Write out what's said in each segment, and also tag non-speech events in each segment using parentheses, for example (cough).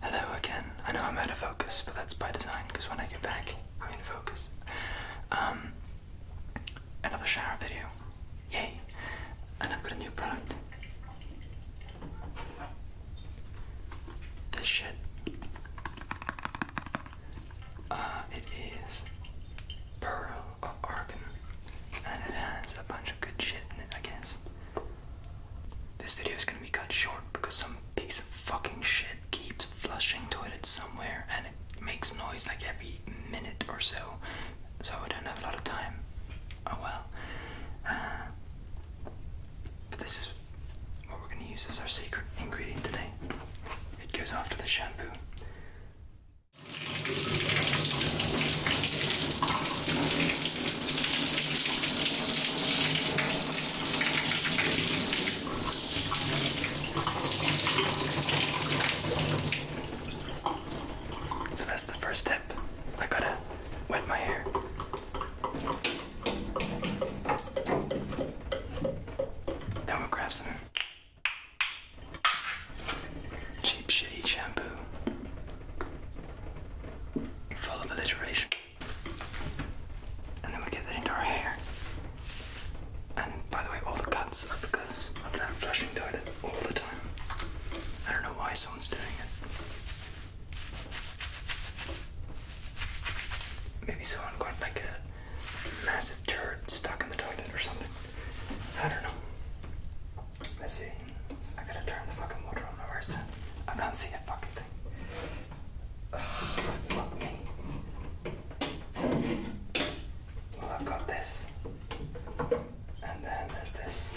Hello again. I know I'm out of focus, but that's by design because when I get back, I'm in focus. Um, another shower video. Yay! And I've got a new product. This shit. Uh, it is Pearl uh, and it has a bunch of good shit in it, I guess. This video is gonna be cut short because some piece of fucking shit keeps flushing toilets somewhere, and it makes noise like every minute or so. So I don't have a lot of time. Oh well. Uh, but this is what we're gonna use as our secret ingredient today. It goes after the shampoo. So that's the first step. I gotta wet my hair. Then Cheap shitty shampoo. Full of alliteration. And then we get that into our hair. And by the way, all the cuts are because of that flushing toilet all the time. I don't know why someone's doing it. Maybe someone got like a massive turd stuck in the toilet or something. I don't know. Let's see. I have gotta turn the fucking water on. Where's that? I can't see a fucking thing. Oh, fuck me. Well, I've got this. And then there's this.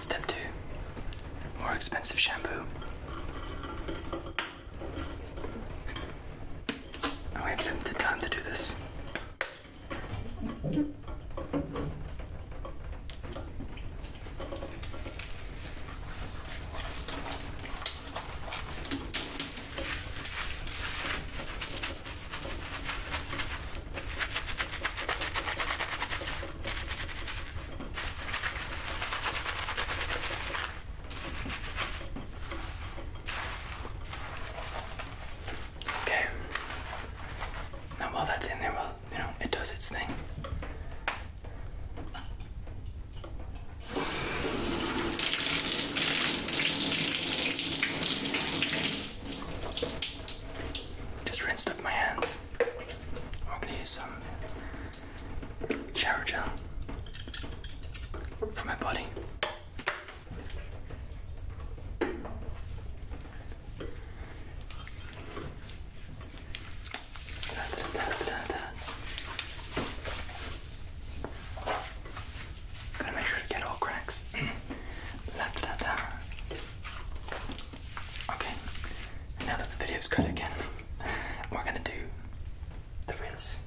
Step two more expensive shampoo. Oh, we have limited time to do this. Okay. Now while that's in there, well, you know, it does its thing. Just rinsed up my hands. I'm gonna use some shower gel for my body. Da, to make sure to get all cracks. (clears throat) Okay, now that the video's cut again, we're gonna do the rinse.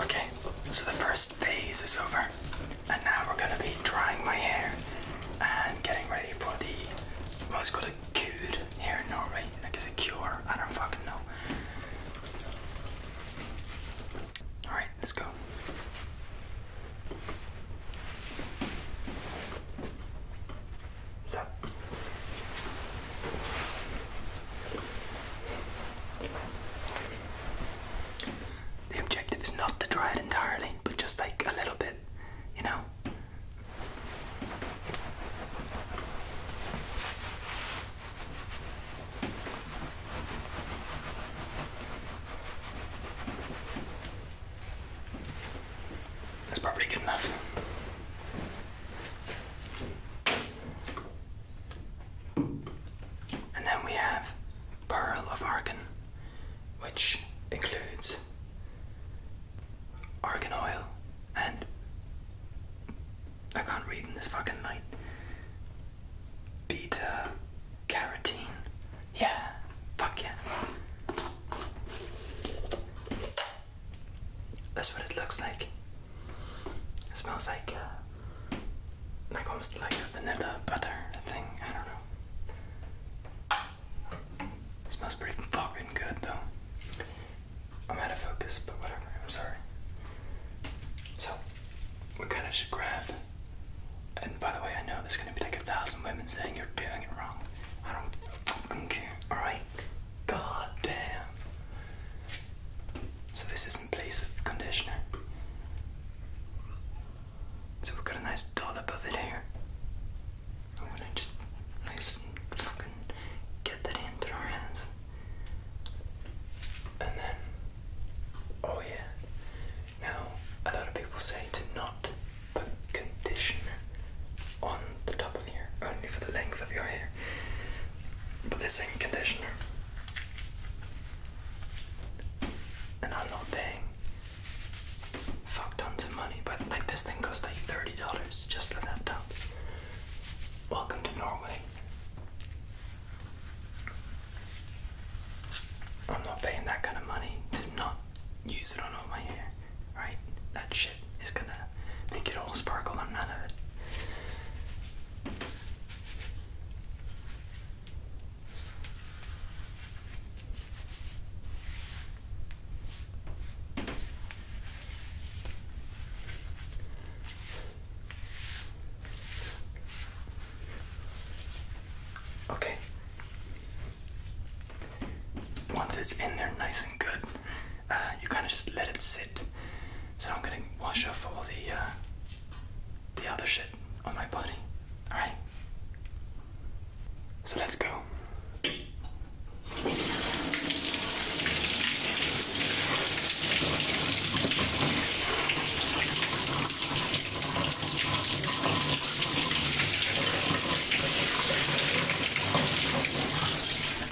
Okay, so the first phase is over. And now we're gonna be drying my hair and getting ready for the well it's called a cure here in Norway. Like it's a cure, I don't fucking know. Alright, let's go. Stop. The objective is not to dry it entirely, but just like a little bit, you know. That's probably good enough. And then we have Pearl of Argan, which includes argan oil and I can't read in this fucking light. Beta carotene. Yeah, fuck yeah. That's what it looks like. It smells like uh, like almost like a vanilla butter thing. I don't know. It smells pretty fucking good though. I'm out of focus, but whatever. I'm sorry. So what kind of should grab. And by the way, I know there's gonna be like a thousand women saying you're doing it wrong. I don't fucking care. All right. God damn. So this is in place of conditioner. So we've got a nice dollop of it here. I'm gonna just nice and fucking get that into our hands. And then, oh yeah. Now, a lot of people say to not put conditioner on the top of your hair, only for the length of your hair but this ain't conditioner. And I'm not paying fuck tons of money, but like this thing costs like $30 just for that tub. Welcome to Norway. I'm not paying that kind of money to not use it on all my hair, right? That's is gonna make it all sparkle none of it. Okay. Once it's in there nice and good, uh, you kind of just let it sit. So I'm gonna wash off all the uh, the other shit on my body. All right. So let's go.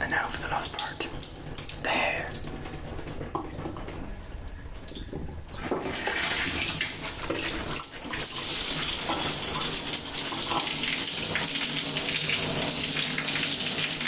And now for the last part the hair.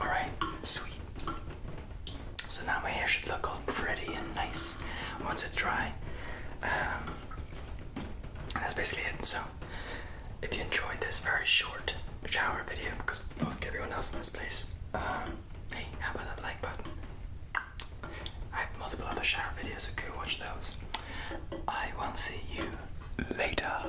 Alright, sweet. So now my hair should look all pretty and nice once it's dry. and um, that's basically it. So, if you enjoyed this very short shower video, because fuck everyone else in this place, um, hey, how about that like button? I have multiple other shower videos, so go watch those. I will see you later.